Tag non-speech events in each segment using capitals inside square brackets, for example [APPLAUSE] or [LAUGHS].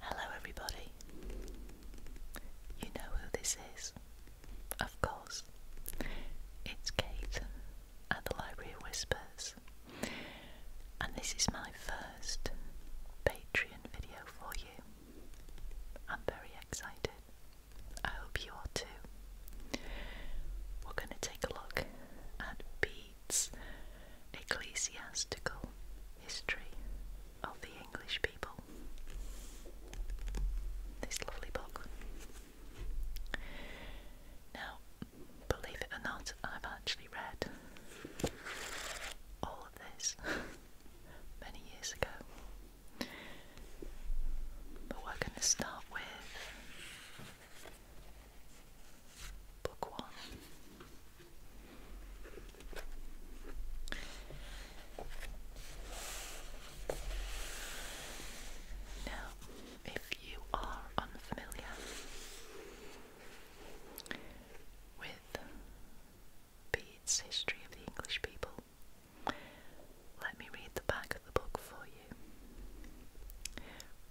Hello, everybody. You know who this is, of course. It's Kate at the Library Whispers, and this is my first Patreon video for you. I'm very excited. I hope you are too. We're going to take a look at B reads Ecclesiastical History of the English People. This lovely book. Now, believe it or not, I've actually read all of this [LAUGHS] many years ago. But we're going to start with Book one. Now, if you are unfamiliar with Bede's History of the English People, let me read the back of the book for you.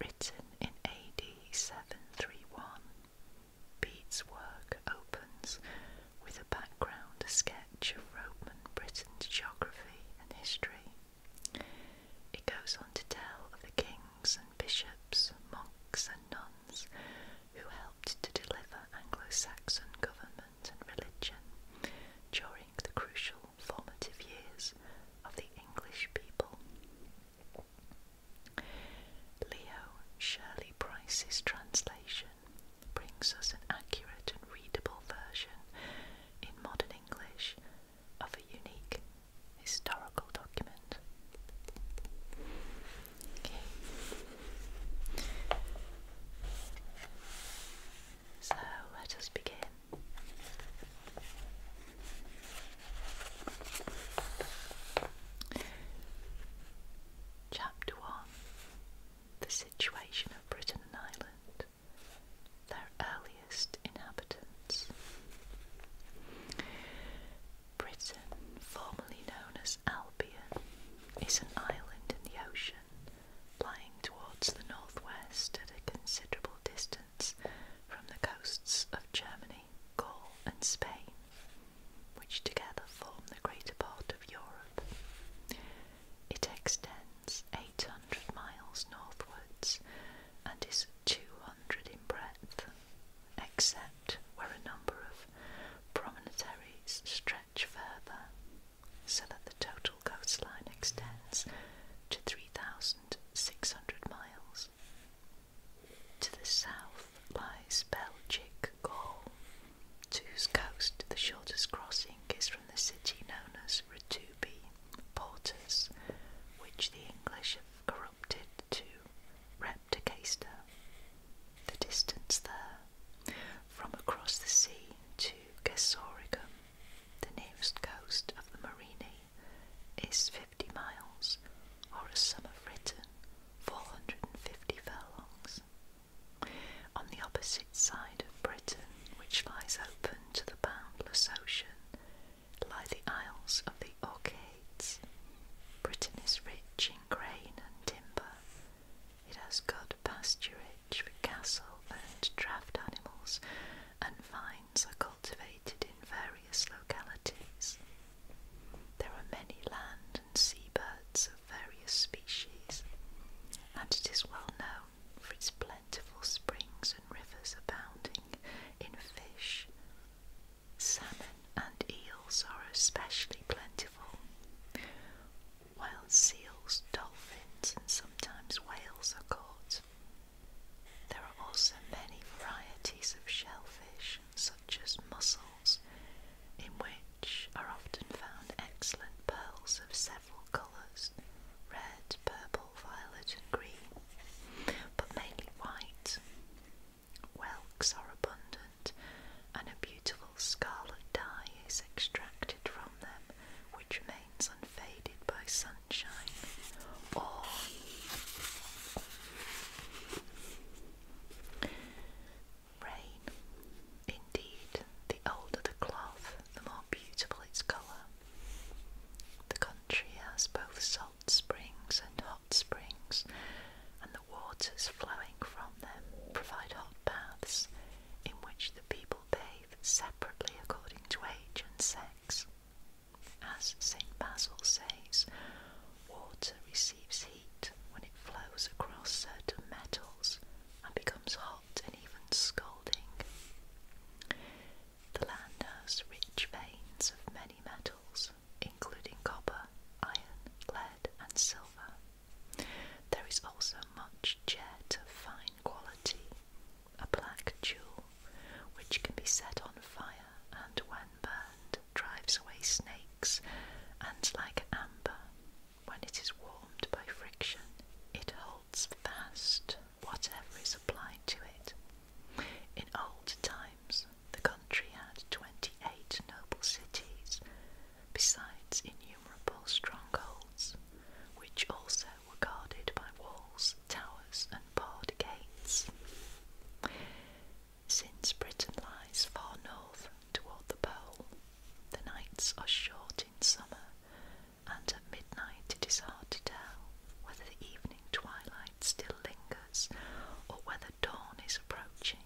Written in AD 3731. Pete's work opens with a background sketch of Roman Britain's geography and history. It goes on to tell of the kings and bishops, monks and nuns who helped to deliver Anglo-Saxon government and religion during the crucial formative years of the English people. Leo Shirley Price's translation brings us an accurate and readable version in modern English of a unique historical document. So let us begin. Chapter 1 The Situation of Britain and Ireland, their earliest inhabitants. Britain, formerly known as Albion, is an island in the ocean lying towards the northwest at a considerable distance from the coasts of Germany, Gaul, and Spain, which together form the greater part of Europe. It extends 800 miles northwards and is 200 in breadth, except where a number of promontories stretch further, so that the total coastline extends to 3,600 miles. To the south lies Belgic Gaul, to whose coast the shortest crossing is from the city known as Rutubi, Portus, which the English have corrupted to Repticaster. The distance there, from across the sea to Gesoricum, the nearest coast of the Marini, is 50 miles, or as some have written, 450 furlongs. On the opposite side of Britain, which lies open to the boundless ocean, lie the Isles of the Orcades. Britain is rich in grain and timber. It has good pasturage for cattle and draft animals and fine are cultivated in various localities. There are many land and sea birds of various species, and it is well known for its plentiful springs and rivers abounding in fish. Salmon and eels are especially plentiful, while seals, dolphins, and sometimes whales are caught. There are also many varieties of shellfish, such as mussels, in which are often found excellent pearls of several colours red, purple, violet, and green, but mainly white. Whelks are abundant, and a beautiful scarlet dye is extracted from them, which remains unfaded by sun sunshine or rain. Indeed, the older the cloth, the more beautiful its colour. The country has both salt springs and hot springs, and the waters flowing from them provide hot baths in which the people bathe separately according to age and sex. As St. Basil says, water receives heat when it flows across certain metals and becomes hot and even scalding. The land has rich veins of many metals, including copper, iron, lead, and silver. There is also much jet of fine quality, a black jewel, which can be set on fire and, when burned, drives away snakes, and like amber, when it is warmed by friction, it holds fast whatever is applied to it. In old times, the country had 28 noble cities, besides innumerable strongholds, which also were guarded by walls, towers, and barred gates. Since Britain lies far north toward the pole, the nights are short in summer, and at midnight it is hard to tell whether the evening twilight still lingers or whether dawn is approaching,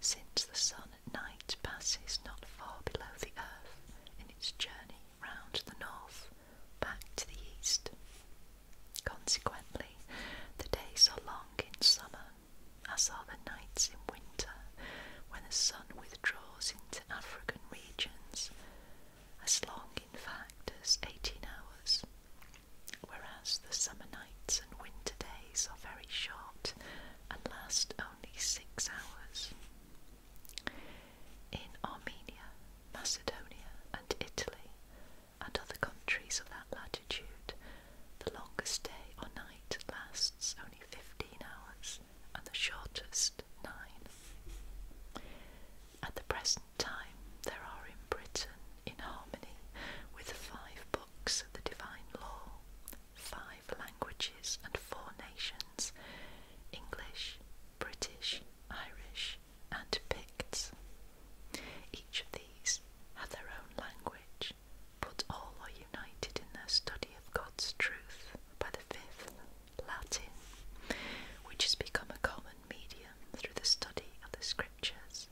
since the sun at night passes not far below the earth in its journey round the north, back to the east. Consequently, the days are long in summer, as are the nights in winter, when the sun withdraws into African regions, as long, in fact, as 18 hours, whereas the summer nights and winter days are very short and last only six hours. In Armenia, Macedonia, and Italy, and other countries of that latitude, the longest day or night lasts only 15 hours and the shortest 9. At the present time, there are in Britain, in harmony with the five books of the Divine Law, five languages and four nations English, British, Irish, and Picts. Each of these had their own language, but all are united in their study of God's truth by the fifth, Latin, which has become a common medium through the study of the scriptures.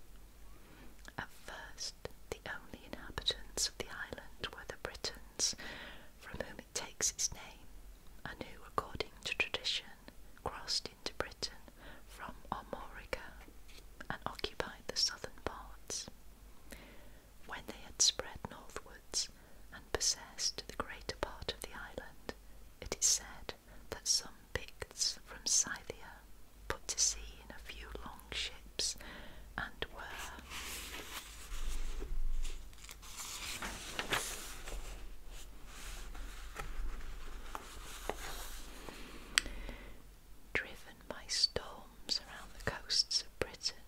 At first, the only inhabitants of the island were the Britons from whom it takes its name, and who, according to tradition, crossed into Britain from Armorica and occupied the southern parts. When they had spread northwards and possessed the greater part of the island, it is said that some Picts from Scythia put to sea in a few long ships and were Driven by storms around the coasts of Britain,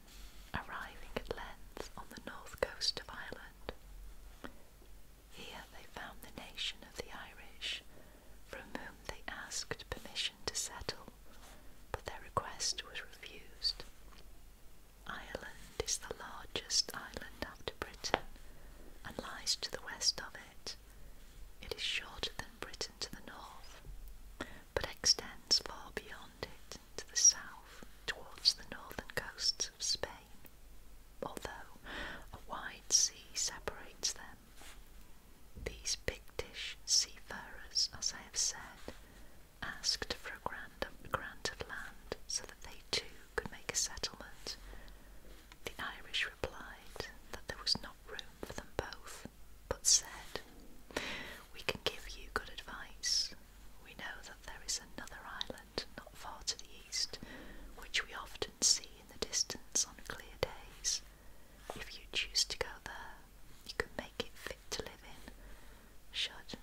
arriving at length on the north coast of Ireland. Here they found the nation of the Irish, from whom they asked permission to settle, but their request was refused. Ireland is the largest island after Britain and lies to the west of it. It is shorter than Britain to the north, but extends far beyond it to the south towards the northern coasts of Spain, although a wide sea separates them. These Pictish seafarers, as I have said, asked for a grant of, land so that they too could make a settlement. The Irish replied that there was not room for them both, but said, We can give you good advice. We know that there is another island not far to the east, which we often see in the distance on clear days. If you choose to go there, you can make it fit to live in should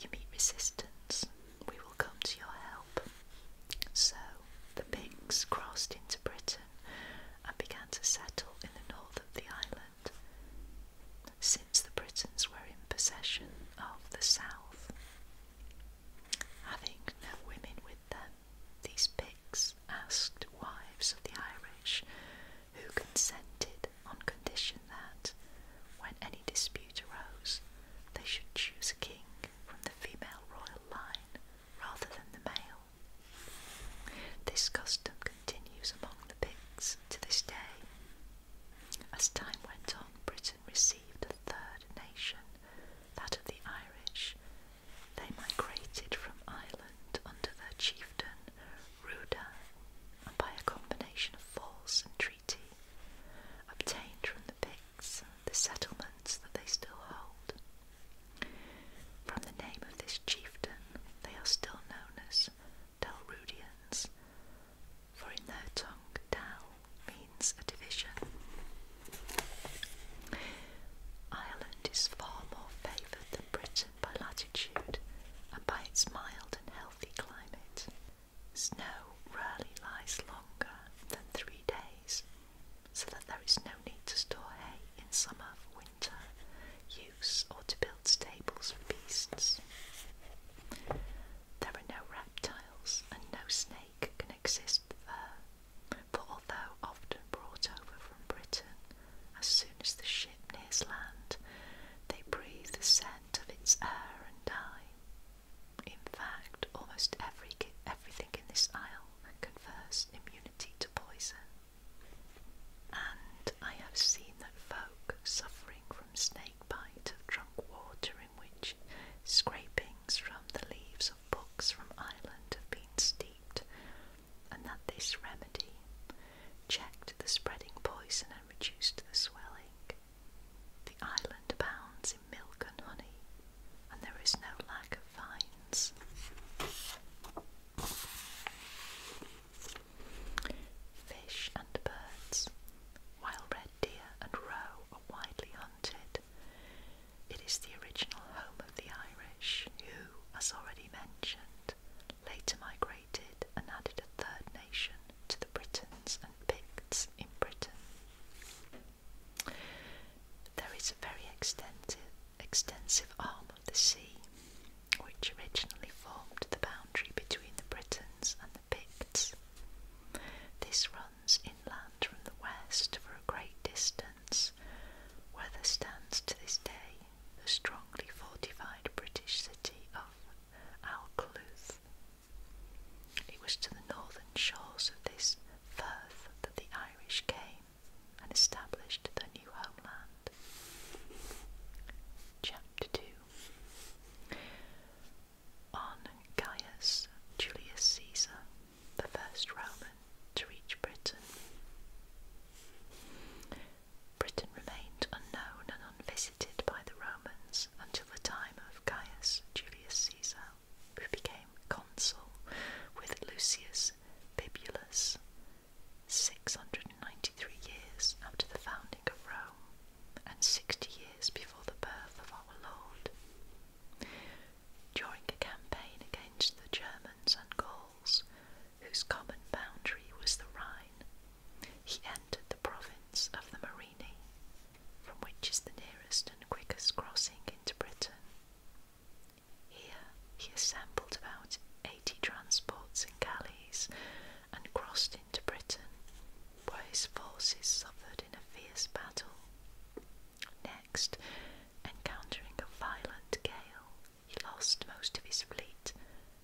you meet resistance, we will come to your help. So the Picts crossed into Britain and began to settle in the north of the island, since the Britons were in possession of the south. Having no women with them, these Picts asked wives of the Irish who consented on condition that, when any dispute arose, they should choose a king from the female royal line rather than the male. This custom continues among the Picts to this day. As time went on, Britain received a third nation, that of the Irish. They migrated from Ireland under their chieftain Ruda, by a combination of force and treaty obtained from the Picts the settlements that they still hold. From the name of this chieftain, they are still known as Dalrudians, for in their tongue Dal means a division. Ireland is far more favoured than Britain by latitude and by its mild and healthy climate. Snow rarely lies longer than three days, so that there is no need to store hay in summer for winter use or to build stables for beasts. There are no reptiles and no snake can exist there, for although often brought over from Britain, as soon as the ship nears land, they breathe the scent of its air and die. In fact, almost every, everything in this isle confers immunity to poison. And I have seen that folk suffering from snake bite have drunk water in which scrapings from the leaves of books from Ireland have been steeped and that this remedy checked the spreading poison and reduced the swelling. The island abounds in milk and honey, and there is no lack of vines. Fish and birds. While red deer and roe are widely hunted, it is the original home of the Irish, who, as already mentioned, later migrated and added a third nation to the Britons and Picts in Britain. There is a very extensive, extensive arm of the sea, which originally formed the boundary between the Britons and the Picts. This runs inland from the west for a great distance, where there stands to this day the strongly fortified British city of Alcluth. It was to the northern shores of this firth that the Irish came and established their new homeland. Chapter 2 On Gaius Julius Caesar, the first Roman to reach Britain. Britain remained unknown and unvisited by the Romans until the time of Caius Julius Caesar, who became consul with Lucius Bibulus 693 years after the founding of Rome and 60 years before the birth of our Lord. During a campaign against the Germans, and Gauls, whose common boundary was the Rhine, he entered the province of the Marini, from which is the nearest and quickest crossing into Britain. Here he assembled about eighty transports and galleys and crossed into Britain, where his forces suffered in a fierce battle. Next, encountering a violent gale, he lost most of his fleet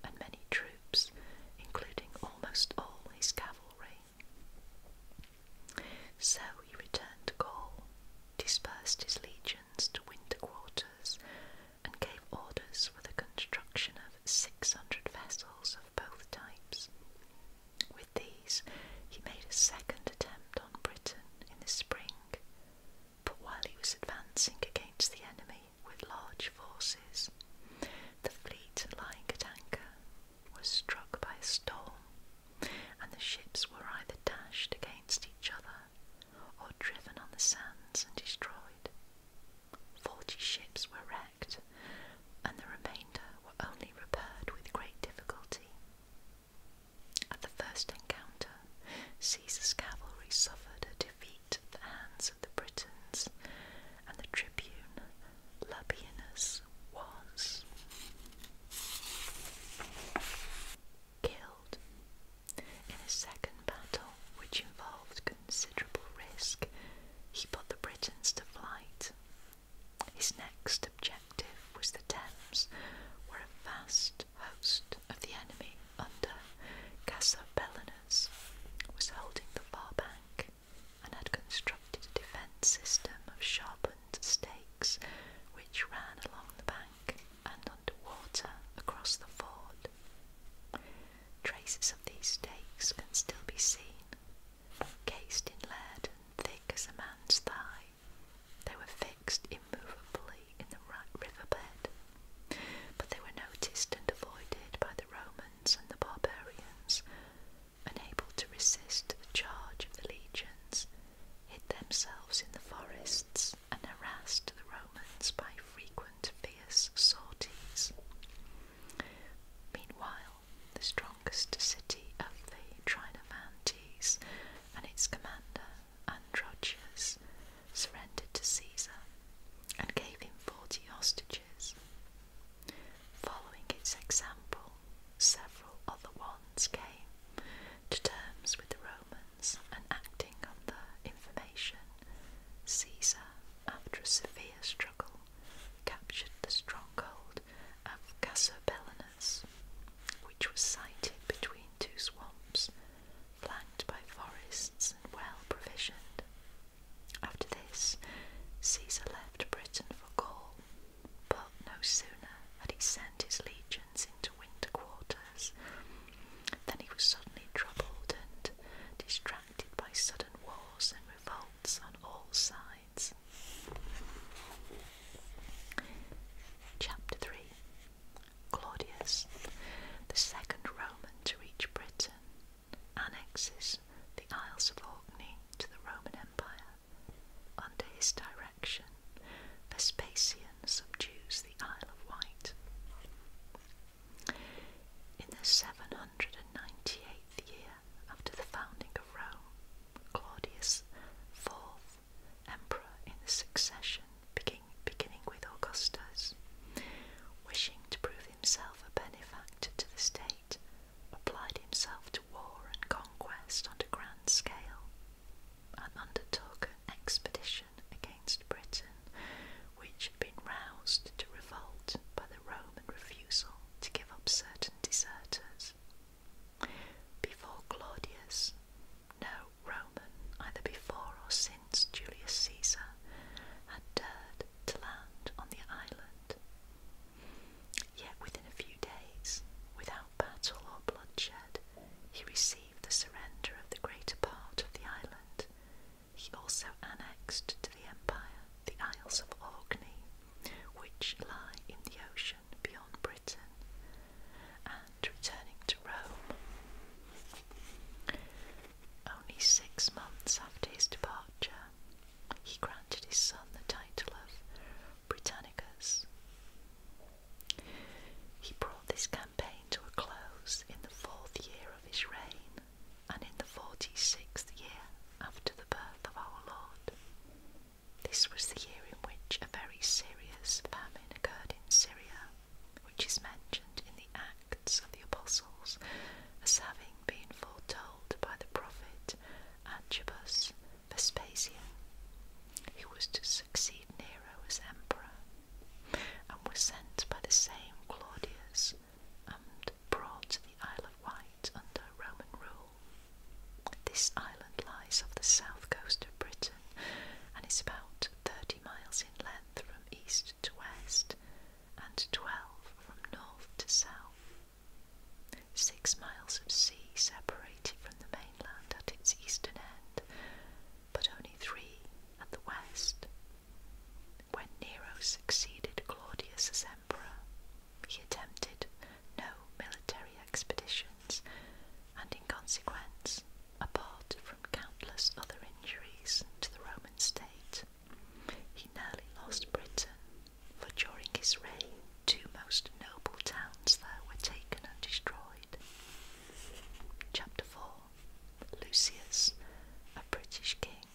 and many troops, including almost all his cavalry. So he returned to Gaul, dispersed his legions to winter quarters, and gave orders for the construction of 600 vessels of both types. With these, he made a second attempt on Britain in the spring, but while he was advancing against the enemy with large forces, the fleet lying at anchor was struck by a storm, and the ships were either dashed against each other or driven on the sands and destroyed. Forty ships were wrecked, and the remainder were only repaired with great difficulty. At the first encounter, Caesar's cavalry suffered a defeat at the hands of the Britons, and the tribune Labienus was killed. In a second battle, which involved considerable risk, he put the Britons to flight. His next objective was the Thames, where a vast host of the enemy under Cassapellinus was holding the far bank and had constructed a defence system of sharpened stakes which ran along the bank and under water across the ford. Traces of these stakes can still be seen, cased in lead and thick as a man's thigh. They were fixed immovably in the riverbed, but they were noticed and avoided by the Romans and the barbarians, unable to resist the charge of the legions, hid themselves in the forests, and harassed the Romans by frequent fierce sorties. Meanwhile, the strongest city of the Trinovantes and its commander Androgeus surrendered to Caesar and gave him 40 hostages. Following its example, several other ones came to terms with the Romans and acting on the information, Caesar, after a severe struggle, captured the stronghold of Casobellinus which was sited between two swamps, flanked by forests and well provisioned. After this, Caesar left Britain for Gaul, but no sooner had he sent his legions into winter quarters than he was suddenly troubled and distracted by sudden wars and revolts on all sides. Chapter 3 Claudius, the second Roman to reach Britain, annexes the Isles of Orkney to the Roman Empire. Under his direction, Vespasian subdues the Isle of Wight. In the 798th year after the founding of Rome, Claudius IV emperor in the succession, beginning with Augustus. Wishing to prove himself a benefactor to the state, applied himself to war and conquest on a grand scale, and undertook an expedition against Britain, which had been roused to revolt by the Roman refusal to give up certain deserters. Before Claudius, no Roman, either before or since Julius Caesar, had dared to land on the island. Yet within a few days, without battle or bloodshed, he received the surrender of the greater part of the island. He also annexed to the empire the Isles of Orkney, which lie in the ocean beyond Britain and returning to Rome. Only six months after his departure, he granted his son the title of Britannicus. He brought this campaign to a close in the fourth year of his reign and in the forty sixth year after the birth of our Lord. This was the year in which a very serious famine occurred in Syria, which is mentioned in the Acts of the Apostles as having been foretold by the prophet Antipas Vespasian, who was to succeed Nero as emperor, and was sent by the same Claudius and brought to the Isle of Wight under Roman rule. This island lies off the south coast of Britain and is about 30 miles in length from east to west and 12 from north to south. Six miles of sea separate it from the mainland at its eastern end, but only three at the west. When Nero succeeded Claudius as emperor, he attempted no military expeditions, and in consequence, apart from countless other injuries to the Roman state, he nearly lost Britain, for during his reign, two most noble towns there were taken and destroyed. Chapter 4 Lucius, a British king,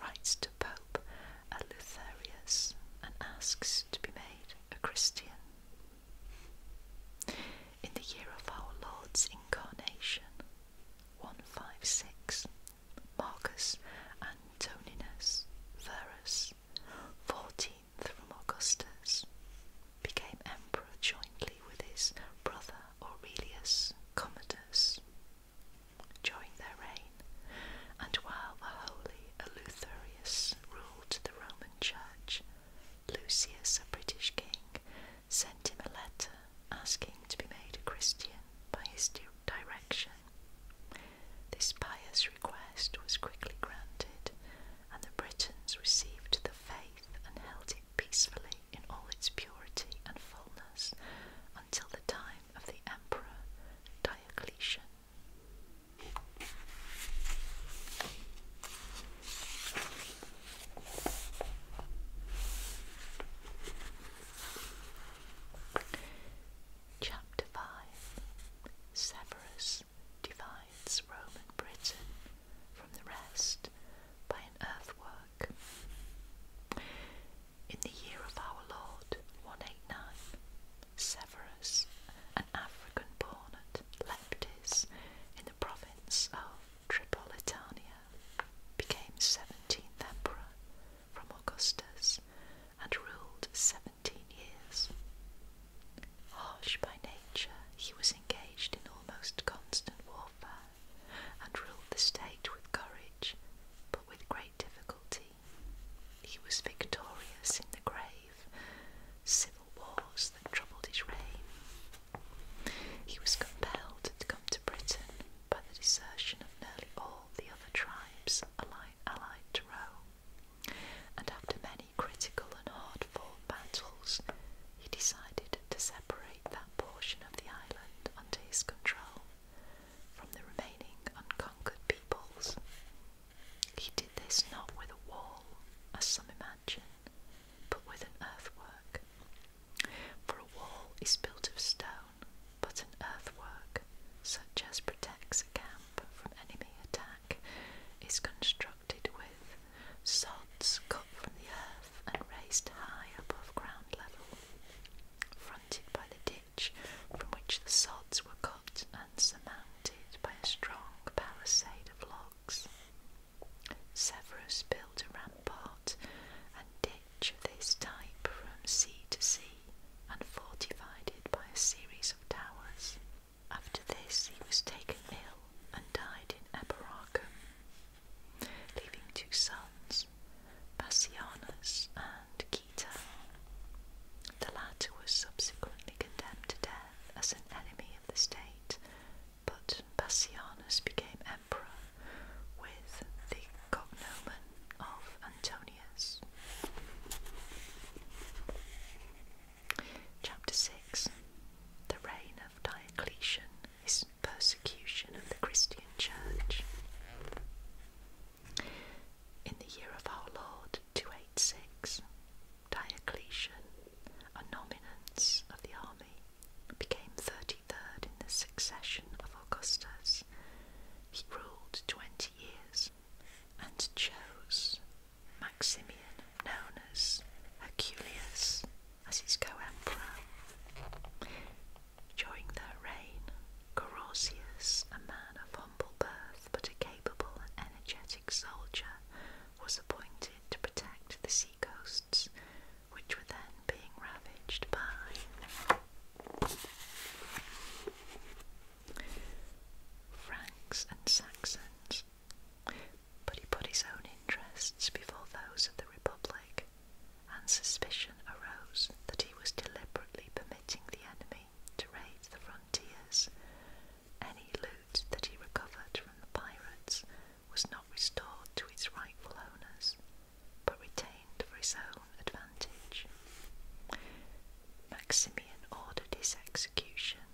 writes to Pope a Eleutherius and asks to be made a Christian. In the year of our Lord's incarnation, 156, Marcus Antoninus Verus, 14th from Augustus, became emperor jointly with his brother Aurelius Commodus. During their and while the holy Eleutherius ruled the Roman Church, Lucius, a British king, sent him a letter asking to be made a Christian by his direction. This pious request was quickly granted, and the Britons received the faith and held it peacefully in all its purity and fullness until the time of the Emperor Diocletian. Chapter 5 Severus divides Roman Britain from the rest by an earthwork. In the year of our Lord 189, Severus, an African born at Leptis in the province of Tripolitania, became 17th emperor from Augustus and ruled 17 years. Harsh by nature, he was engaged in almost constant warfare and ruled the state with courage, but with great difficulty he was victorious in the grave civil wars that troubled his reign. He was compelled to come to Britain by the desertion of nearly all the other tribes allied, to Rome, and after many critical and hard fought battles, he decided to separate that portion of the island under his control from the remaining unconquered peoples. He did this not with a wall, as some imagine, but with an earthwork. For a wall is built of stone, but an earthwork, such as protects a camp from enemy attack, is constructed with sods cut from the earth and raised high above ground level, fronted by the deer from which the sods were cut and surmounted by a strong palisade of logs. Severus built a rampart and ditch of this type from sea to sea and fortified it by a series of towers. After this, he was taken ill and died in Eboracum, leaving two sons, Bassianus and the latter was subsequently condemned to death as an enemy of the state, but Pacianus became emperor with the cognomen of Antonius. Chapter 6 The reign of Diocletian, his persecution of the Christian Church. In the year of our Lord 286, Diocletian, a nominance of the army, became 33rd in the succession of Augustus. He ruled 20 years and chose Maximian, known as Herculius, as his co emperor. During their reign, Carausius, a man of humble birth but a capable and energetic soldier, was appointed to protect the seacoasts, which were then being ravaged by Franks and Saxons. But he put his own interests before those of the Republic, and suspicion arose that he was deliberately permitting the enemy to raid the frontiers. Any loot that he recovered from the pirates was not restored to its rightful owners, but retained for his own advantage. Maximian ordered his execution,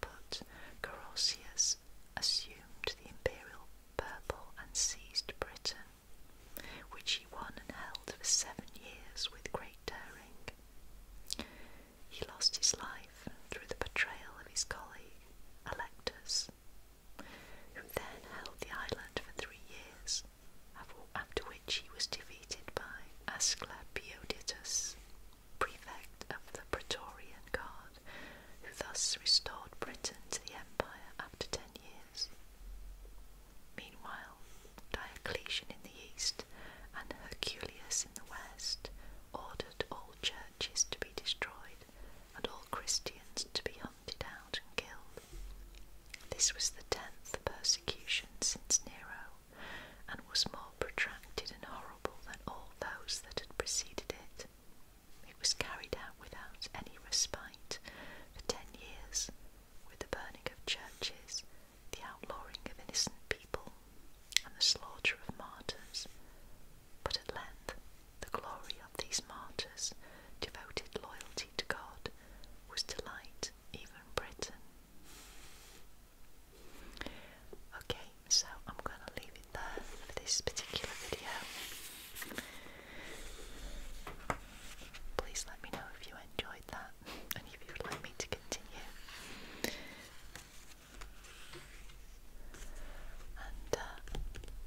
but Carausius assumed the imperial purple and seized Britain which he won and held for seven years with great daring. He lost his life through the betrayal of his colleague, Electus, who then held the island for three years, after which he was defeated by Asclepioditus, prefect of the Praetorian Guard, who thus restored Britain to the empire after ten years. Meanwhile, Diocletian in the east and Herculius in the west ordered all churches to be destroyed and all Christians to be hunted out and killed. This was the tenth persecution since Nero and was more protracted and horrible than all those that had preceded it. It was carried out without any respite for ten years with the burning of churches, the outlawing of innocent people, and the slaughter of martyrs. But at length, the glory of these martyrs, devoted loyalty to God, was to light even Britain. Okay, so I'm going to leave it there for this particular video. Please let me know if you enjoyed that [LAUGHS] and if you would like me to continue. And uh,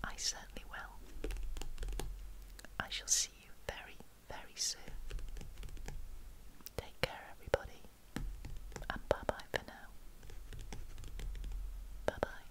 I certainly will. I shall see you very, very soon. Take care, everybody, and bye bye for now. Bye bye.